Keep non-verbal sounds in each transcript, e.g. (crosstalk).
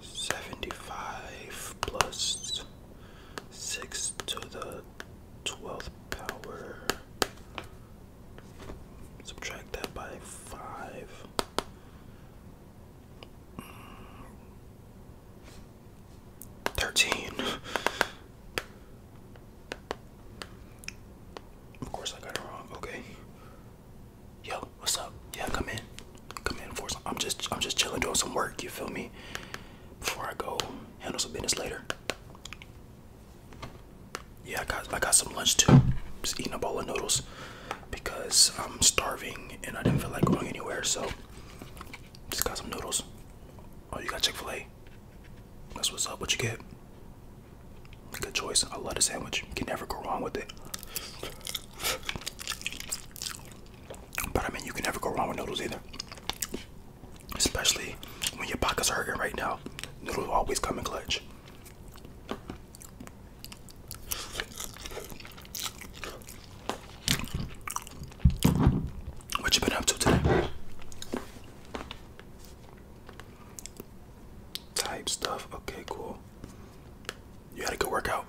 75 plus 6 to the 12th power. Subtract that by 5. 13. Of course, I got it wrong. Okay yo, what's up? Yeah, come in. Come in for some. I'm just, I'm just chilling, doing some work. You feel me? Before I go handle some business later. Yeah, I got, I got some lunch too. Just eating a bowl of noodles because I'm starving and I didn't feel like going anywhere. So just got some noodles. Oh, you got Chick Fil A. That's what's up. What you get? Good choice. A love the sandwich. Can never go wrong with it. But I mean, you can never go wrong with noodles either. Especially when your pockets are hurting right now. Noodles always come in clutch. What you been up to today? Type stuff. Okay, cool. You had a good workout.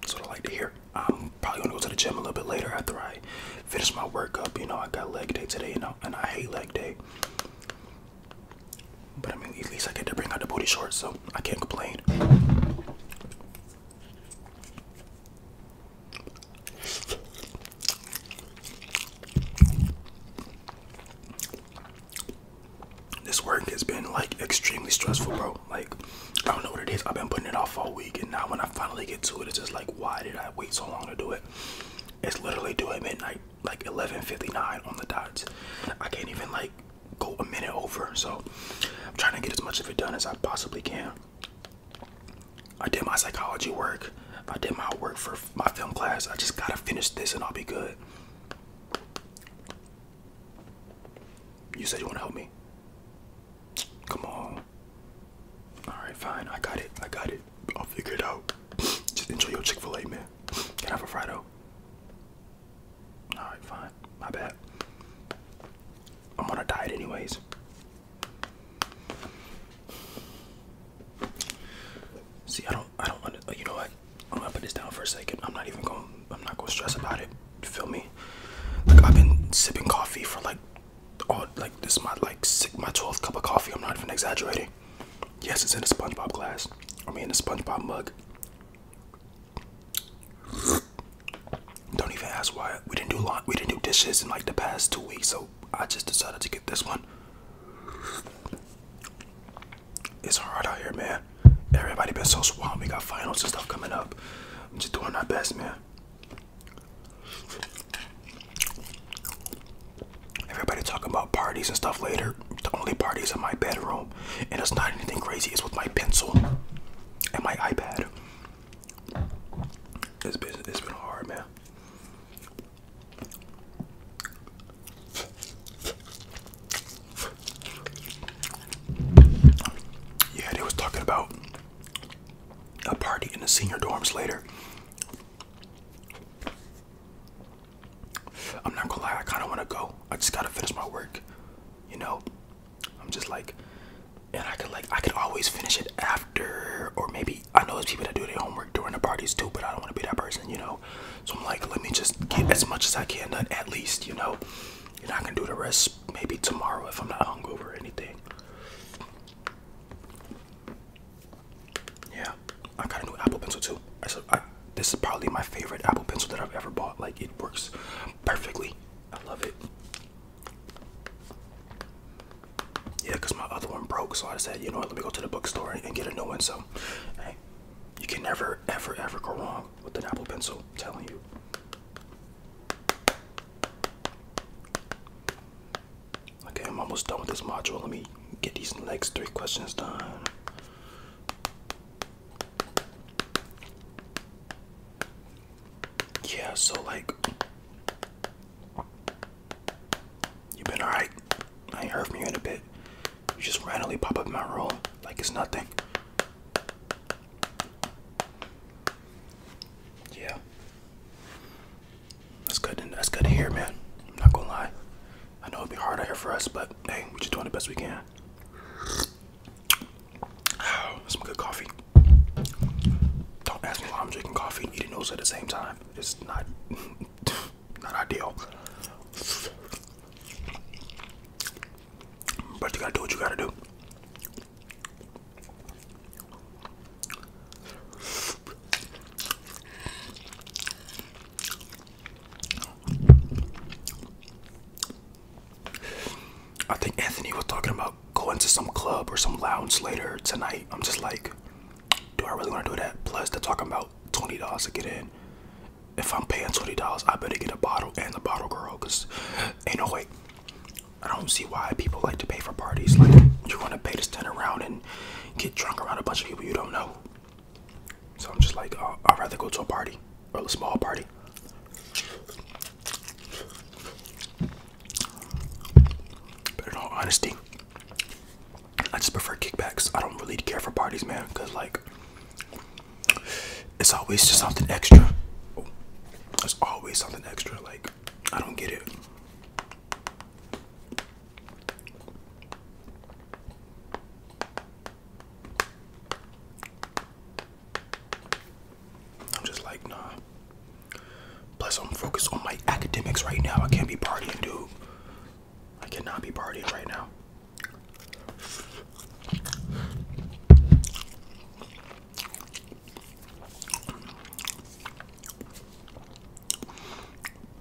That's what I like to hear. I'm probably gonna go to the gym a little bit later after I finish my workup. You know, I got leg day today, you know, and I hate leg day. But I mean, at least I get to bring out the booty shorts, so I can't complain. This work has been like extremely stressful, bro. Like, I don't know what it is. I've been putting it off all week, and now when I finally get to it, it's just like, why did I wait so long to do it? It's literally doing at midnight, like 11:59 on the dots. I can't even like go a minute over, so I'm trying to get as much of it done as I possibly can. I did my psychology work. I did my work for my film class. I just gotta finish this and I'll be good. You said you wanna help me. Come on. Alright, fine. I got it. I got it. I'll figure it out. (sniffs) Just enjoy your Chick-fil-A, man. Can I have a Frido? Alright, fine. My bad. I'm on a diet anyways. See, I don't, I don't want to. You know what? I'm gonna put this down for a second. I'm not even going. I'm not gonna stress about it. You feel me? Like I've been sipping coffee for like, all like this is my like six, my 12th cup of coffee. I'm not even exaggerating. Yes, it's in a SpongeBob glass. I mean, in a SpongeBob mug. Don't even ask why we didn't do lawn, we didn't do dishes in like the past two weeks. So I just decided to get this one. It's hard out here, man. Everybody been so swamped. We got finals and stuff coming up. I'm just doing my best, man. Everybody talking about parties and stuff later. The only parties in my bedroom, and it's not anything crazy. It's with my pencil and my iPad. It's been it's been hard, man. Yeah, they was talking about a party in the senior dorms later. I'm not gonna lie, I kinda wanna go. I just gotta finish my work. You know? I'm just like and I could like I could always finish it after or maybe I know there's people that do their homework during the parties too, but I don't want to be that person, you know. So I'm like, let me just get as much as I can done at least, you know. And I can do the rest maybe tomorrow if I'm not hungover or anything. Yeah, I got a new Apple Pencil too. I, I, this is probably my favorite Apple Pencil that I've ever bought. Like it works perfectly. I love it. Yeah, because my other one broke, so I said, you know what, let me go to the bookstore and get a new one. So, hey, you can never, ever, ever go wrong with an Apple Pencil, telling you. Okay, I'm almost done with this module. Let me get these next three questions done. Yeah, so like you have been alright? I heard from you in a bit. You just randomly pop up in my room like it's nothing. Yeah. That's good that's good to hear, man. I'm not gonna lie. I know it'll be hard out here for us, but hey, we're just doing the best we can. some good coffee. Don't ask me why I'm drinking coffee and eating those at the same time. It's not not ideal. But you gotta do what you gotta do. I think Anthony was talking about going to some club or some lounge later tonight. I'm just like, do I really want to do that? Plus, they're talking about twenty dollars to get in. If I'm paying twenty dollars, I better get a bottle and a bottle girl, cause ain't no way. I don't see why people like to pay for parties. Like you are going to pay to stand around and get drunk around a bunch of people you don't know. So I'm just like, uh, I'd rather go to a party or a small party. But in all honesty, I just prefer kickbacks. I don't really care for parties, man, because like it's always just something extra. Oh, it's always something extra. Like I don't get it. I'm just like nah. Plus, I'm focused on my academics right now. I can't be partying, dude. I cannot be partying right now.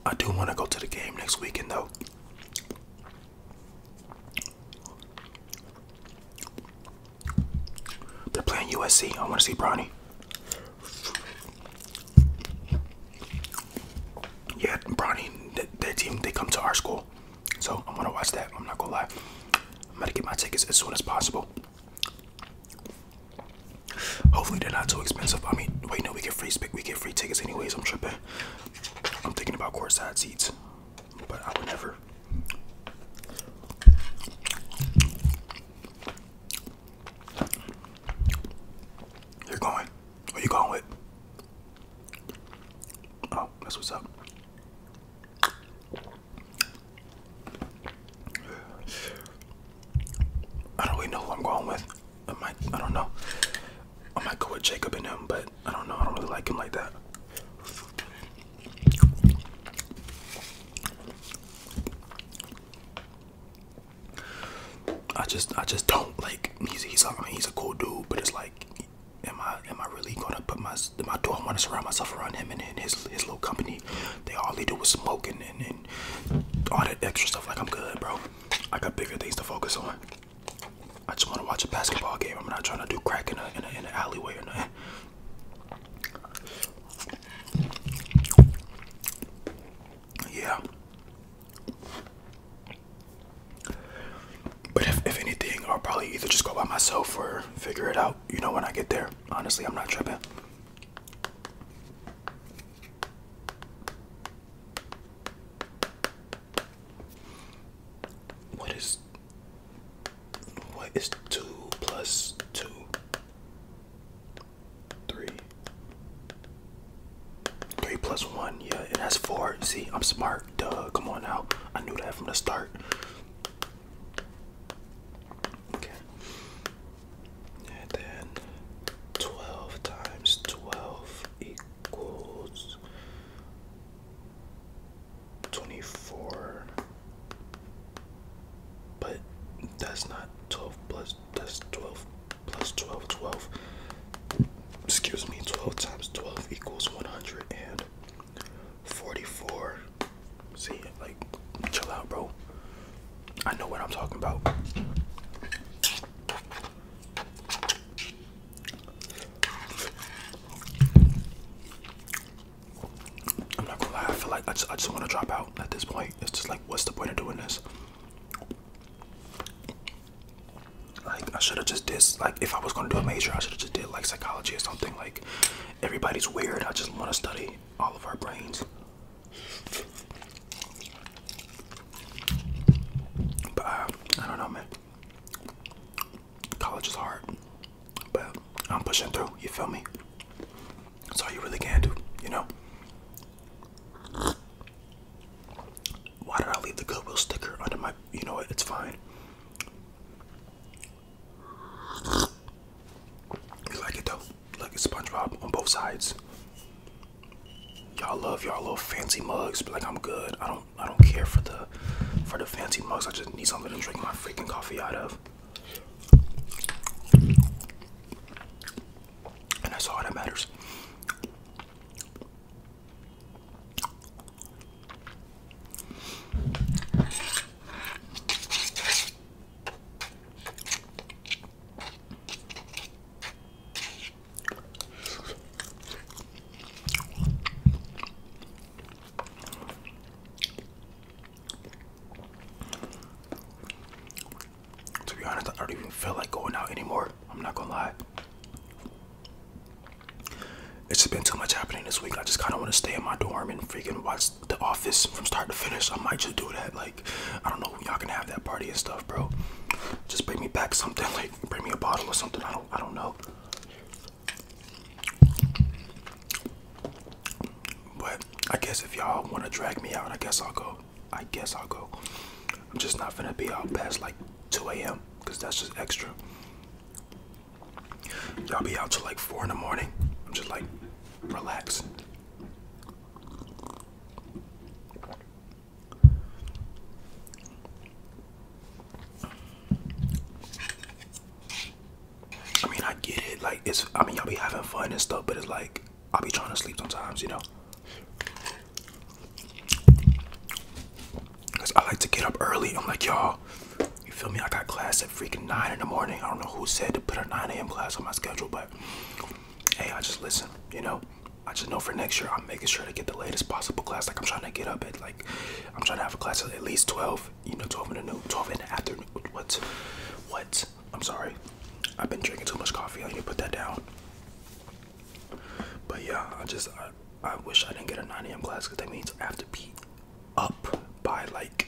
I do want to go to the game next weekend, though. They're playing USC. I want to see Brownie. Yeah, Bronny, th their team, they come to our school. So I'm gonna watch that. I'm not gonna lie. I'm gonna get my tickets as soon as possible. Hopefully they're not too expensive. I mean, wait, no, we get free we get free tickets anyways. I'm tripping. I'm thinking about courtside seats, but I would never. You're going. Who you going with? Oh, that's what's up. I don't even know who I'm going with. I might, I don't know. I might go with Jacob and him, but I don't know. I don't really like him like that. I just I just don't like he's he's he's a cool dude, but it's like am I am I really gonna put my my do I wanna surround myself around him and, his his little company. They all they do is smoking and, all that extra stuff like I'm good bro. I got bigger things to focus on. I just wanna watch a basketball game. I'm not trying to do crack in in an alleyway or nothing. Yeah. But if, if anything, I'll probably either just go by myself or figure it out, you know, when I get there. Honestly, I'm not tripping. What is what is two plus two? Three. Three plus one, yeah, it has four. See, I'm smart. Duh, come on now. I knew that from the start. And then 12 times 12 equals 24 but that's not 12 plus, that's 12 plus 12, Excuse me, 12 times 12 equals 144. See, like, chill out, bro. I know what I'm talking about. I'm not gonna lie, I feel like I just, I just want to drop out at this point. It's just like, what's the point of doing this? Like, I should have just did, like, if I was gonna do a major, I should have just did, like, psychology or something. Like, everybody's weird. I just want to study all of our brains. But uh, I don't know, man. College is hard. But I'm pushing through, you feel me? That's all you really can do, you know? Why did I leave the Goodwill sticker under my. You know what? It's fine. You like it though? Like it's SpongeBob on both sides. Y'all love y'all little fancy mugs, but like I'm good. I don't I don't care for the for the fancy mugs. I just need something to drink my freaking coffee out of. And that's all that matters. To be honest, I don't even feel like going out anymore. I'm not gonna lie. It's just been too much happening this week. I just kind of want to stay in my dorm and freaking watch The Office from start to finish. I might just do that. Like, I don't know. Y'all can have that party and stuff, bro. Just bring me back something. (laughs) Like, bring me a bottle or something. I don't. I don't know. But I guess if y'all want to drag me out, I guess I'll go. I guess I'll go. I'm just not gonna be out past like 2 a.m. because that's just extra. Y'all be out till like 4 in the morning. I'm just like, relax. I mean, I get it. Like, it's, I mean, y'all be having fun and stuff, but it's like, I'll be trying to sleep sometimes, you know? Because I like to get up early. I'm like, y'all, you feel me? I got class at freaking 9 in the morning. I don't know who said to put a 9 a.m. class on my schedule, but hey, I just listen, you know? I just know for next year, I'm making sure to get the latest possible class. Like, I'm trying to get up at, like, I'm trying to have a class at at least 12 you know, 12 in the noon, 12 in the afternoon. What's, What? I'm sorry. I've been drinking too much coffee. I need to put that down. But yeah, I just, I wish I didn't get a 9 a.m. class because that means I have to be up by like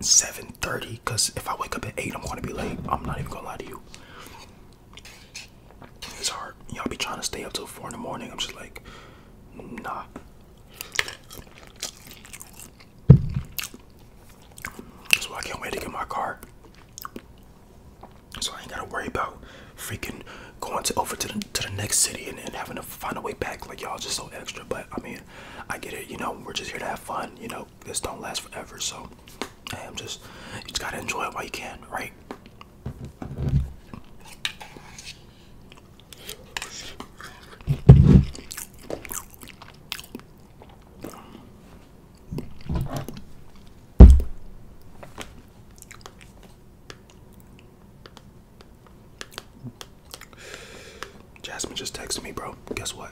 7.30 because if I wake up at 8, I'm going to be late. I'm not even going to lie to you. It's hard. Y'all be trying to stay up till 4 in the morning. I'm just like, nah. So I can't wait to get my car. So I ain't gotta worry about freaking going to over to the, to the next city and, then having to find a way back. Like y'all just so extra. But I mean, I get it. You know, we're just here to have fun. You know, this don't last forever. So I'm just, you just gotta enjoy it while you can, right? Jasmine just texted me, bro. Guess what?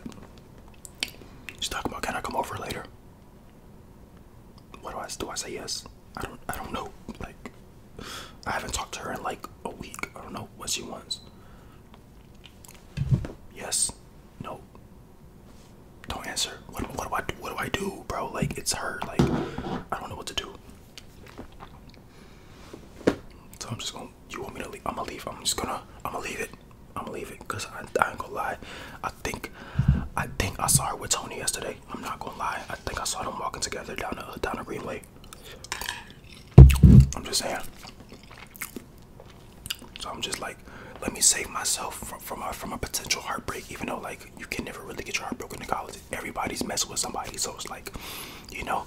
She's talking about can I come over later? What do I do? I say yes. I don't I don't know. Like I haven't talked to her in like a week. I don't know what she wants. Yes. No. Don't answer. What what do I do? What do I do, bro? Like it's her. Like I don't know what to do. So I'm just gonna. You want me to leave? I'm gonna leave. I'm just gonna. I'm gonna leave it. I'm gonna leave it because I, I ain't gonna lie. I think. I think I saw her with Tony yesterday. I'm not gonna lie. I think I saw them walking together down the down the greenway. I'm just saying. So I'm just like, let me save myself from from a, from a potential heartbreak. Even though like you can never really get your heartbroken in college. Everybody's messing with somebody, so it's like, you know,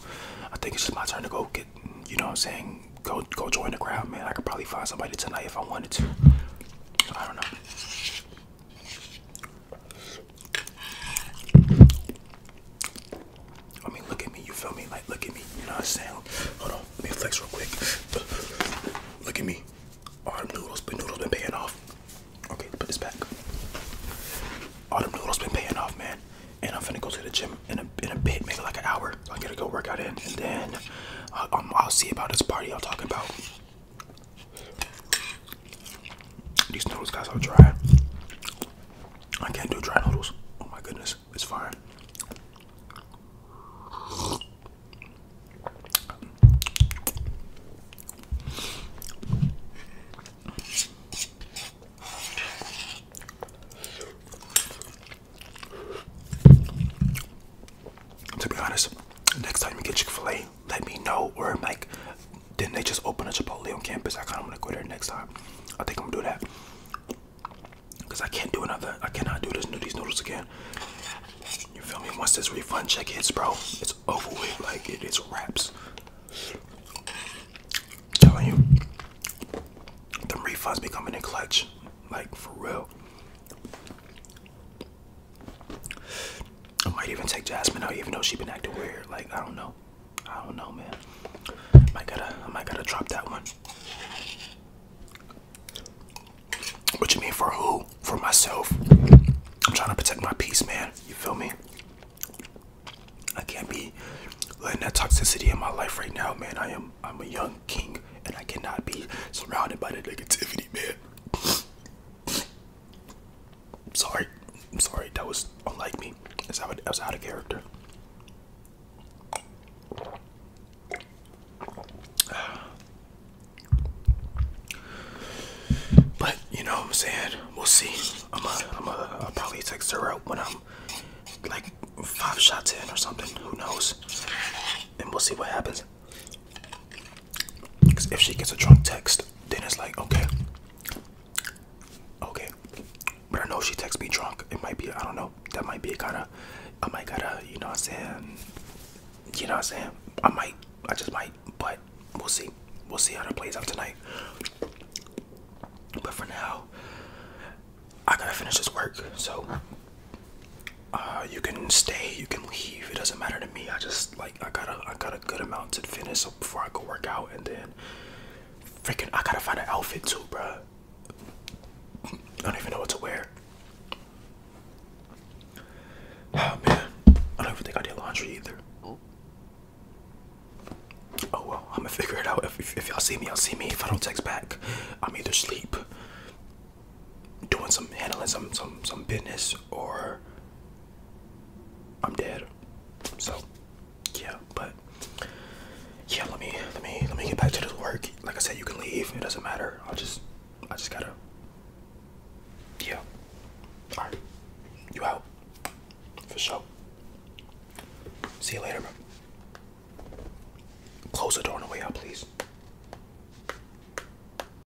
I think it's just my turn to go get. You know what I'm saying? Go go join the crowd, man. I could probably find somebody tonight if I wanted to. I don't know. I mean, look at me, you feel me? Like, look at me, you know what I'm saying? Hold on, let me flex real quick. Look at me. All them noodles, but noodles been paying off. Okay, put this back. All them noodles been paying off, man. And I'm finna go to the gym in a, in a bit, maybe like an hour. I'm gonna go work out in, and then uh, um, I'll see about this party I'm talking about. These noodles, guys, are dry. I can't do dry noodles. Oh my goodness, it's fine. To be honest, next time you get Chick fil A, let me know or I'm like then they just open a Chipotle on campus? I kinda wanna go there next time. I think I'm gonna do that. Cause I can't do another I cannot do this these noodles again. You feel me? Once this refund check hits bro, it's over with. Like it's wraps. telling you the refunds becoming a clutch. Like for real. I might even take Jasmine out, even though she been acting weird. Like I don't know, I don't know, man. Might gotta, I might gotta drop that one. What you mean for who? For myself. I'm trying to protect my peace, man. You feel me? I can't be letting that toxicity in my life right now, man. I am, I'm a young king, and I cannot be surrounded by the negativity, man. Sorry, I'm sorry, that was unlike me. That's how I was out of character. But you know what I'm saying? We'll see. I'm a, I'm a, I'll probably text her out when I'm like five shots in or something. Who knows? And we'll see what happens. Because if she gets a drunk text, then it's like, okay, okay. But I know she texts me drunk. It might be, I don't know. That might be a kind of, I might gotta, you know what I'm saying? You know what I'm saying? I might, I just might, but we'll see. We'll see how that plays out tonight. But for now, I gotta finish this work. So, uh, you can stay, you can leave. It doesn't matter to me. I just like. I got a I got a good amount to finish so before I go work out and then freaking I gotta find an outfit too, bruh. I don't even know what to wear. (sighs) Oh man, I don't even think I did laundry either. Oh well, I'm gonna figure it out. If, if y'all see me, y'all see me. If I don't text back, I'm either sleep, doing some handling some some some business, or I'm dead. So yeah, but yeah, let me let me let me get back to this work. Like I said, you can leave. It doesn't matter. I'll just I just gotta Yeah. Alright. You out. For sure. See you later, bro. Close the door on the way out, please.